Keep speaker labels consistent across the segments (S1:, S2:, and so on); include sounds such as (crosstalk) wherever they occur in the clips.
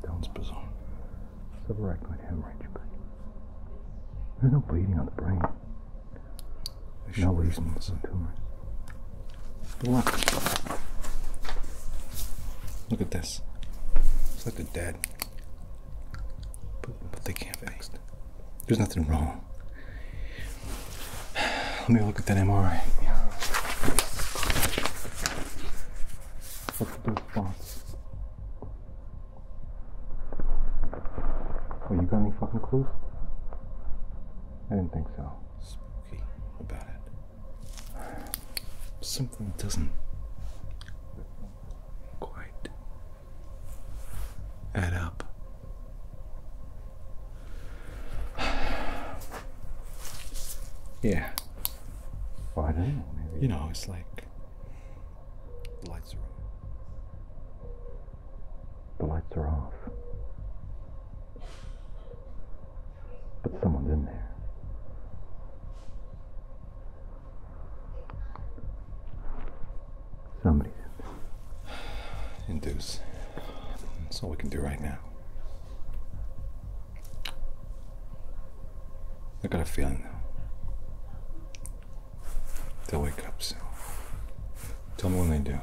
S1: the town's bazaar. Several actinoid hemorrhage, but there's no bleeding on the brain. There's no reason for some tumor. Look. Look at this. It's like they're dead. But, but they can't fix it. There's nothing wrong. (sighs) Let me look at that MRI of those spots. Well, you got any fucking clues? I didn't think so. Spooky about it. Something doesn't quite add up. yeah. Well, I don't know. You know, it's like the lights are The lights are off. But someone's in there. Somebody's (sighs) in there. Induce. That's all we can do right now. I got a feeling they'll wake up soon. Tell me when they do.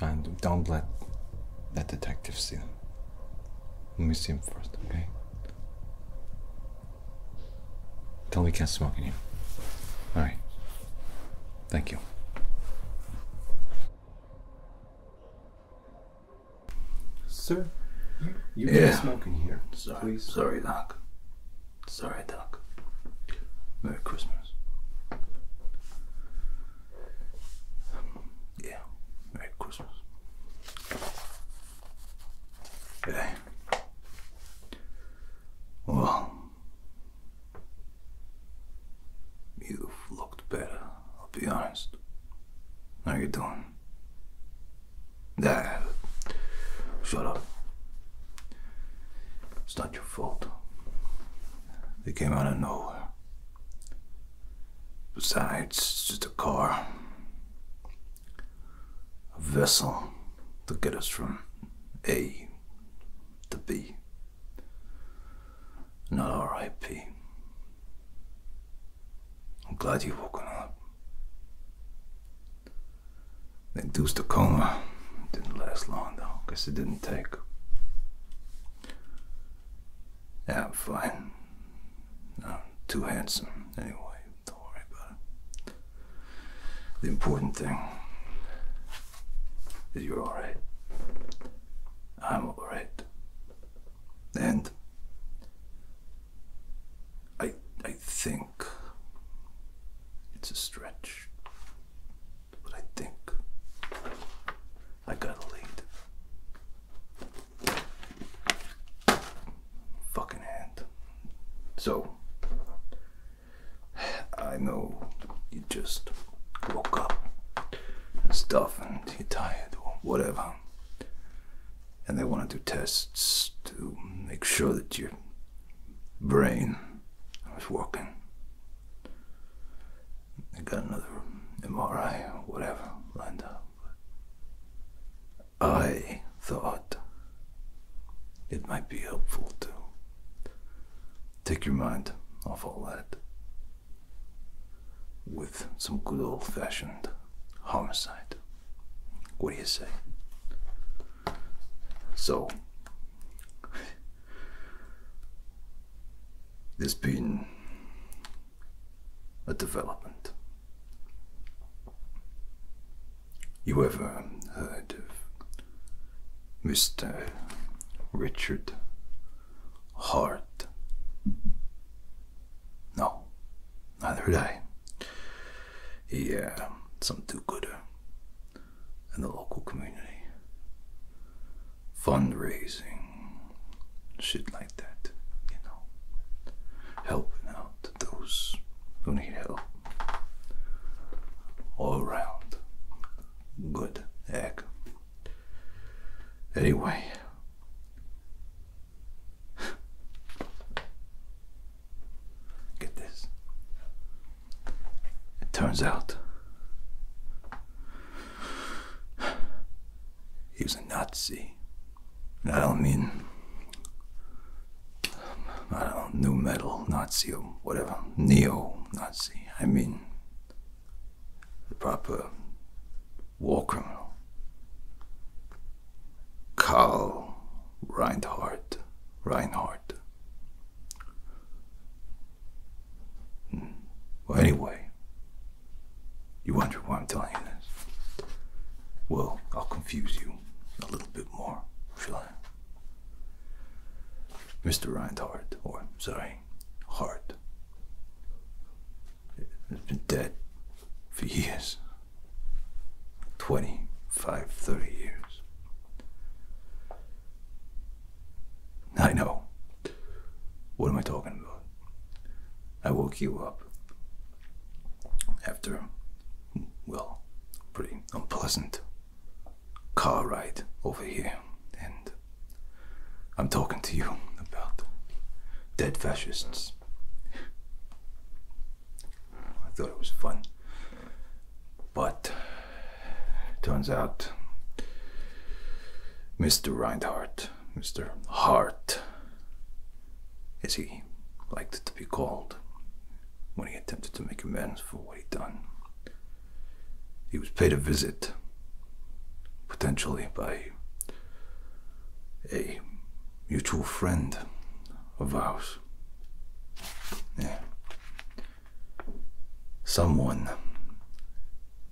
S1: And don't let that detective see them. Let me see him first, okay? Tell me he can't smoke in here. Alright. Thank you. Sir, you, you yeah. smoke in here. Sorry, please. sorry, Doc. Sorry, Doc. Merry Christmas. Yeah, Merry Christmas. Yeah. Well, you've looked better. I'll be honest. How you doing? Nah, shut up. It's not your fault. They came out of nowhere. Besides, it's just a car. A vessel to get us from A to B. Not R.I.P. I'm glad you've woken up. The induced a coma. Didn't last long though, guess it didn't take. That i fine. I'm too handsome anyway, don't worry about it. The important thing is you're alright. I'm alright. And I I think it's a stretch. But I think I got a lead. Fucking hand. So I know you just woke up and stuff and you're tired or whatever. And they want to do tests to make sure that your brain is working. They got another MRI or whatever lined up. I thought it might be helpful to take your mind off all that with some good old fashioned homicide. What do you say? So, there's been a development. You ever heard of Mr. Richard heart. No, neither did I. Yeah, some do gooder in the local community. Fundraising, shit like that, you know. Helping out those who need help. All around good egg. Anyway. Get this. It turns out he was a Nazi. I don't mean I don't know, new metal Nazi or whatever, neo Nazi. I mean the proper walker, Karl Reinhardt. Reinhardt. Hmm. Well, anyway, you wonder why I'm telling you this. Well, I'll confuse you a little bit more, shall I? Mr. Reinhardt, or sorry, Hart, it has been dead for years 25, 30 years. I know. What am I talking about? I woke you up after, well, pretty unpleasant car ride over here, and I'm talking to you about dead fascists. I thought it was fun. But turns out Mr. Reinhardt, Mr. Hart, as he liked to be called when he attempted to make amends for what he'd done. He was paid a visit, potentially by a mutual friend of ours. Someone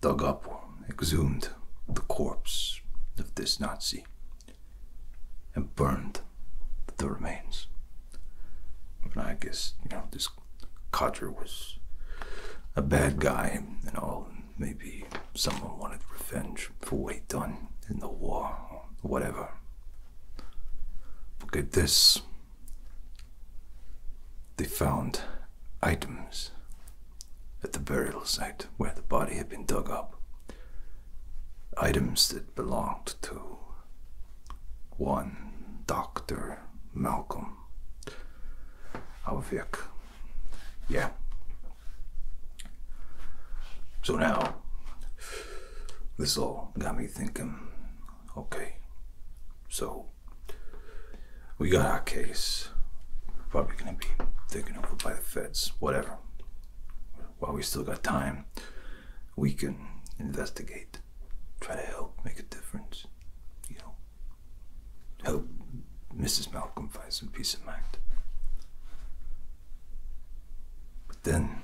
S1: dug up or exhumed the corpse of this Nazi and burned the remains. And I guess, you know, this cadre was a bad guy and all maybe someone wanted revenge for what he done in the war or whatever. Look at this. They found items at the burial site where the body had been dug up. Items that belonged to one Dr. Malcolm Alvik. Yeah. So now, this all got me thinking okay, so we got our case. Probably gonna be taken over by the feds, whatever. While we still got time, we can investigate, try to help, make a difference, you know, Hope oh, Mrs. Malcolm finds some peace of mind. But then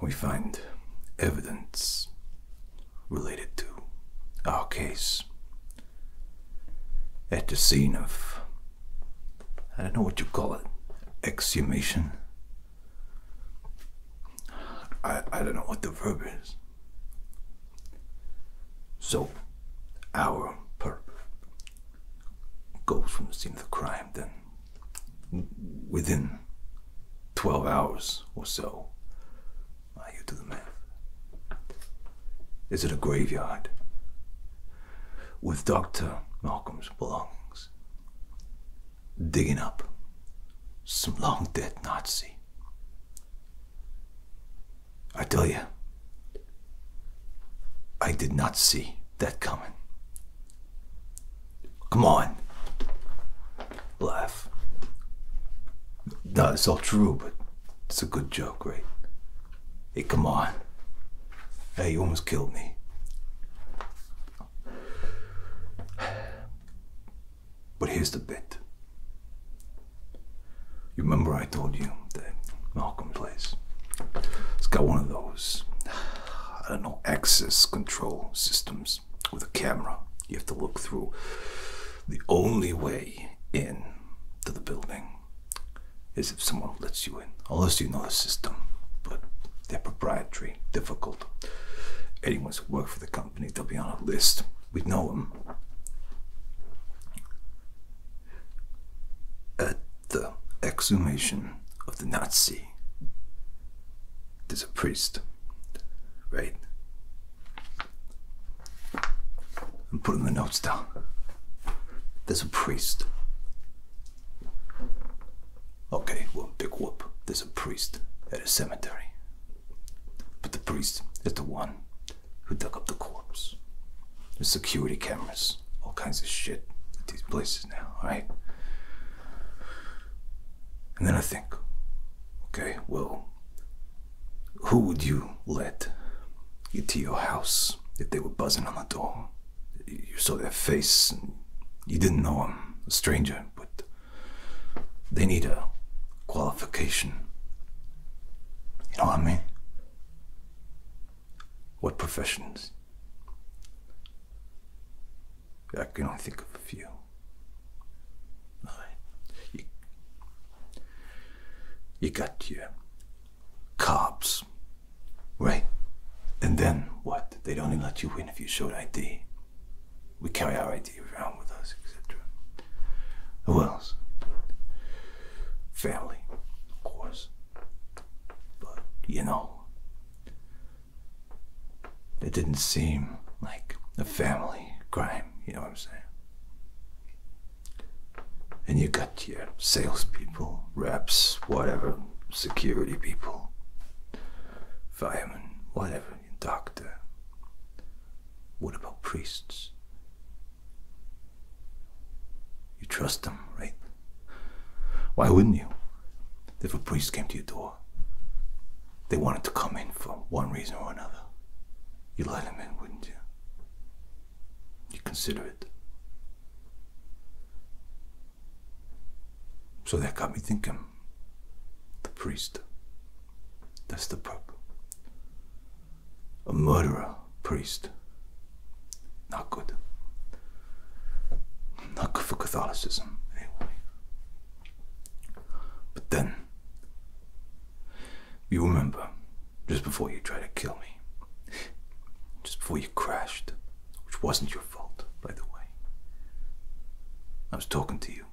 S1: we find evidence related to our case at the scene of, I don't know what you call it, exhumation. I, I don't know what the verb is. So, our perp goes from the scene of the crime, then within 12 hours or so, uh, you do the math. Is it a graveyard with Dr. Malcolm's belongings? Digging up some long dead Nazi I tell you, I did not see that coming. Come on. Laugh. No, it's all true, but it's a good joke, right? Hey, come on. Hey, you almost killed me. But here's the bit. You remember I told you that Malcolm place It's got one of those, I don't know, access control systems with a camera. You have to look through the only way in to the building is if someone lets you in, unless you know the system. But they're proprietary, difficult. Anyone who works for the company they'll be on a list. We know them. At the exhumation of the Nazi, there's a priest, right? I'm putting the notes down. There's a priest. Okay, well, big whoop. There's a priest at a cemetery. But the priest is the one who dug up the corpse. There's security cameras, all kinds of shit at these places now, alright? And then I think, okay, well, who would you let get to your house if they were buzzing on the door? You saw their face and you didn't know them, a stranger, but they need a qualification. You know what I mean? What professions? I can only think of a few. You, got your cops, right? And then what? They don't let you in if you showed ID. We carry our idea around with us, etc. Who else? Family, of course. But, you know, it didn't seem like a family crime, you know what I'm saying? And you got your salespeople, reps, whatever, security people, firemen, whatever doctor? What about priests? You trust them, right? Why wouldn't you? If a priest came to your door, they wanted to come in for one reason or another. You let him in, wouldn't you? You consider it. So that got me thinking. The priest. That's the problem. A murderer priest. Not good. Not good for Catholicism, anyway. But then, you remember, just before you tried to kill me, just before you crashed, which wasn't your fault, by the way, I was talking to you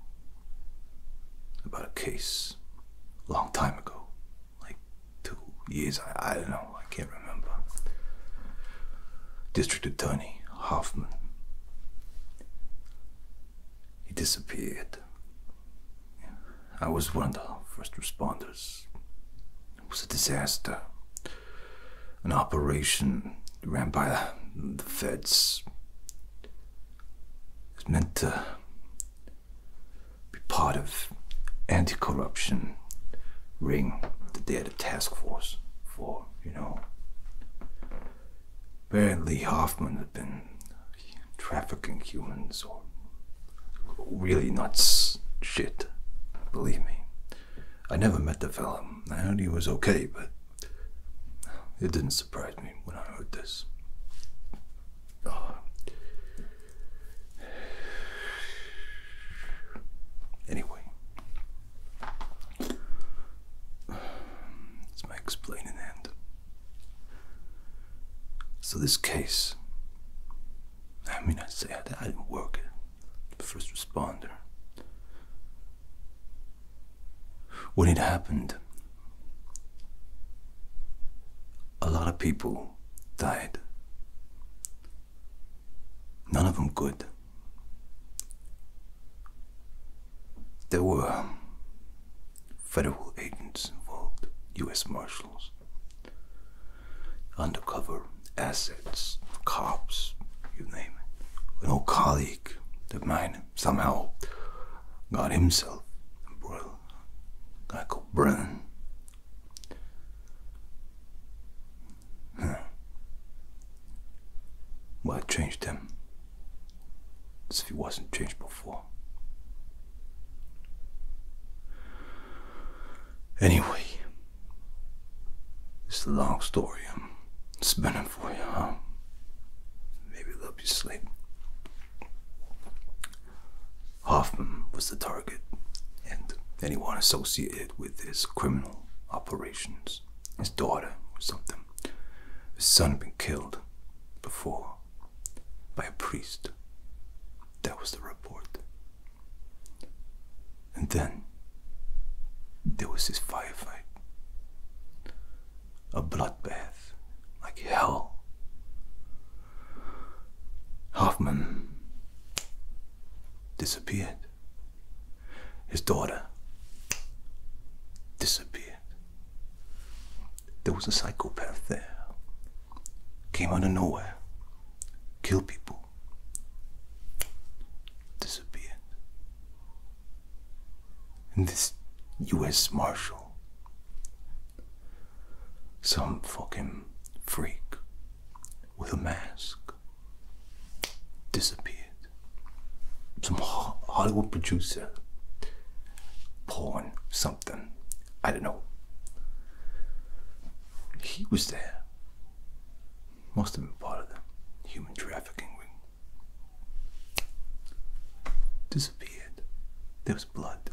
S1: about a case a long time ago, like two years, I, don't know, I can't remember. District Attorney Hoffman. He disappeared. I was one of the first responders. It was a disaster. An operation ran by the feds. It's meant to be part of anti-corruption ring that they had a task force for, you know. Apparently Hoffman had been trafficking humans or really nuts shit, believe me. I never met the fellow. I heard he was okay, but it didn't surprised me when I heard this. (sighs) Anyway, it's my explaining hand. So this case, I mean, I say I, I didn't work it. First responder when it happened, a lot of people died. None of them good. There were federal agents involved, U.S. Marshals, undercover assets, cops, you name it. An old colleague of mine Somehow, God Himself, bro, I could burn. Huh. Well, I changed him. As if he wasn't changed before. Anyway, it's a long story. It's been a for you, huh? Maybe it you sleep. Hoffman was the target, and anyone associated with his criminal operations. His daughter or something. His son had been killed before by a priest. That was the report. And then there was this firefight a bloodbath, like hell. Hoffman disappeared. His daughter disappeared. There was a psychopath there. Came out of nowhere. Killed people. Disappeared and this US Marshal. Some fucking freak with a mask disappeared. Some Hollywood producer, porn, something, I don't know. He was there. Must have been part of the human trafficking ring disappeared. There was blood,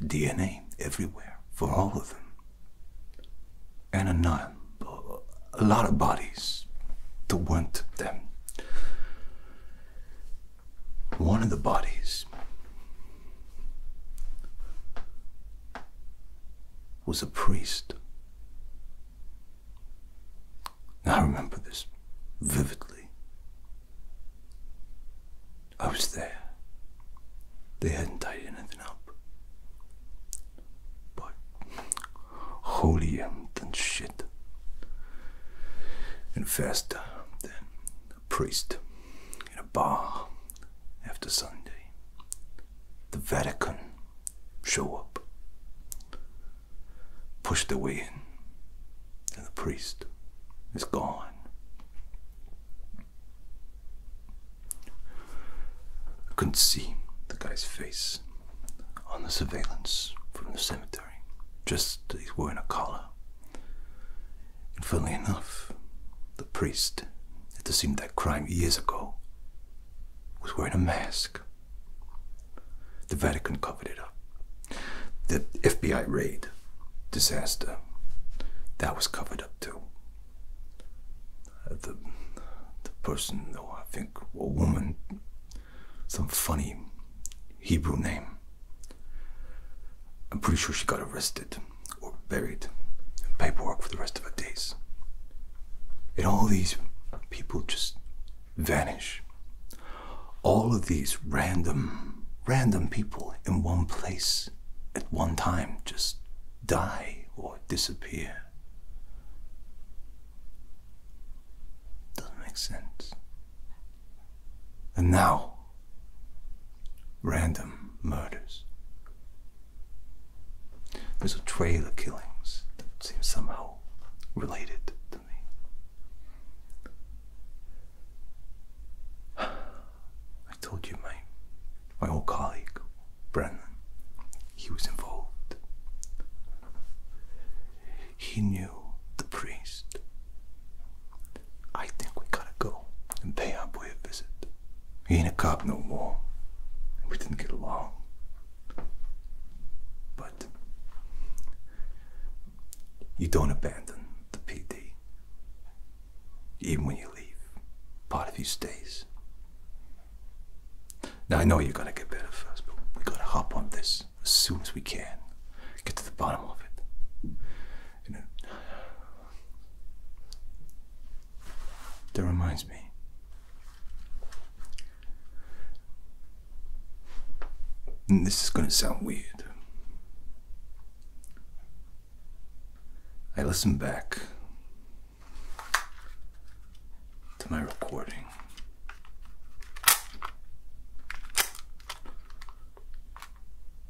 S1: DNA everywhere for all of them. And a, non, a lot of bodies that weren't them. One of the bodies was a priest I remember this vividly. I was there. They hadn't tied anything up. But holy and shit. And first, uh, then a priest in a bar after Sunday. The Vatican show up, push their way in, and the priest is gone. I couldn't see the guy's face on the surveillance from the cemetery. Just that he's wearing a collar. And funnily enough, the priest, it seemed that crime years ago, was wearing a mask. The Vatican covered it up. The FBI raid disaster, that was covered up too. The, the person, though, I think, a woman, some funny Hebrew name. I'm pretty sure she got arrested or buried in paperwork for the rest of her days. And all these people just vanish. All of these random, random people in one place at one time just die or disappear. Doesn't make sense. And now, random murders. There's a trail of killings that seems somehow related (sighs) I told you my my old colleague, Brennan, he was involved. He knew the priest. I think we gotta go and pay our boy a visit. He ain't a cop no more. We didn't get along. But you don't abandon the PD. Even when you leave, part of you stays. Now I know you're gonna get better first, but we gotta hop on this as soon as we can. Get to the bottom of it. You know, that reminds me this is going to sound weird. I listen back to my recording.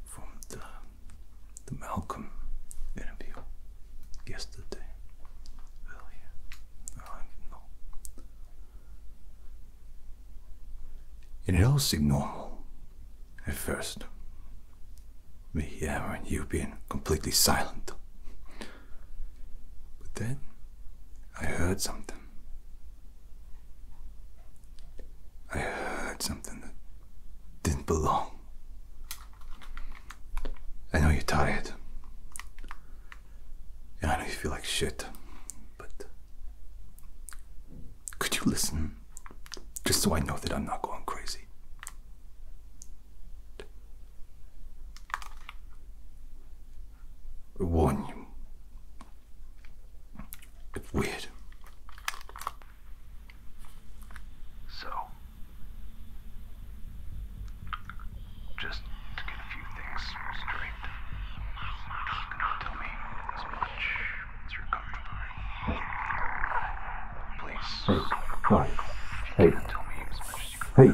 S1: From the, the Malcolm interview yesterday, earlier, I know. It all seemed normal at first. But yeah, you've completely silent. But then I heard something. I heard something that didn't belong. I know you're tired. I know you feel like shit, but could you listen? Just so I know that I'm not going crazy. I warn you. It's weird. So, just to get a few things straight. Now tell me as much as you're comfortable. Please. Hey. Right. Hey. hey.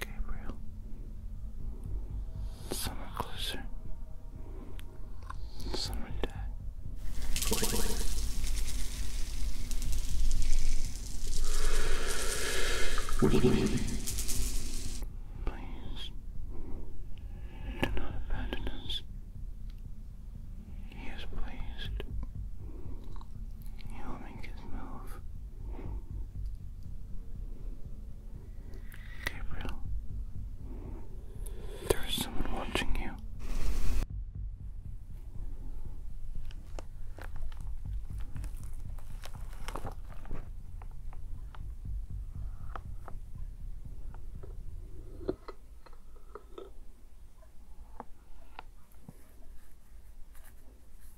S1: Gabriel. Somewhere closer. Somewhere there. Wait, wait. Please do not abandon us. He is pleased. He will make his move. Gabriel, there is someone watching you.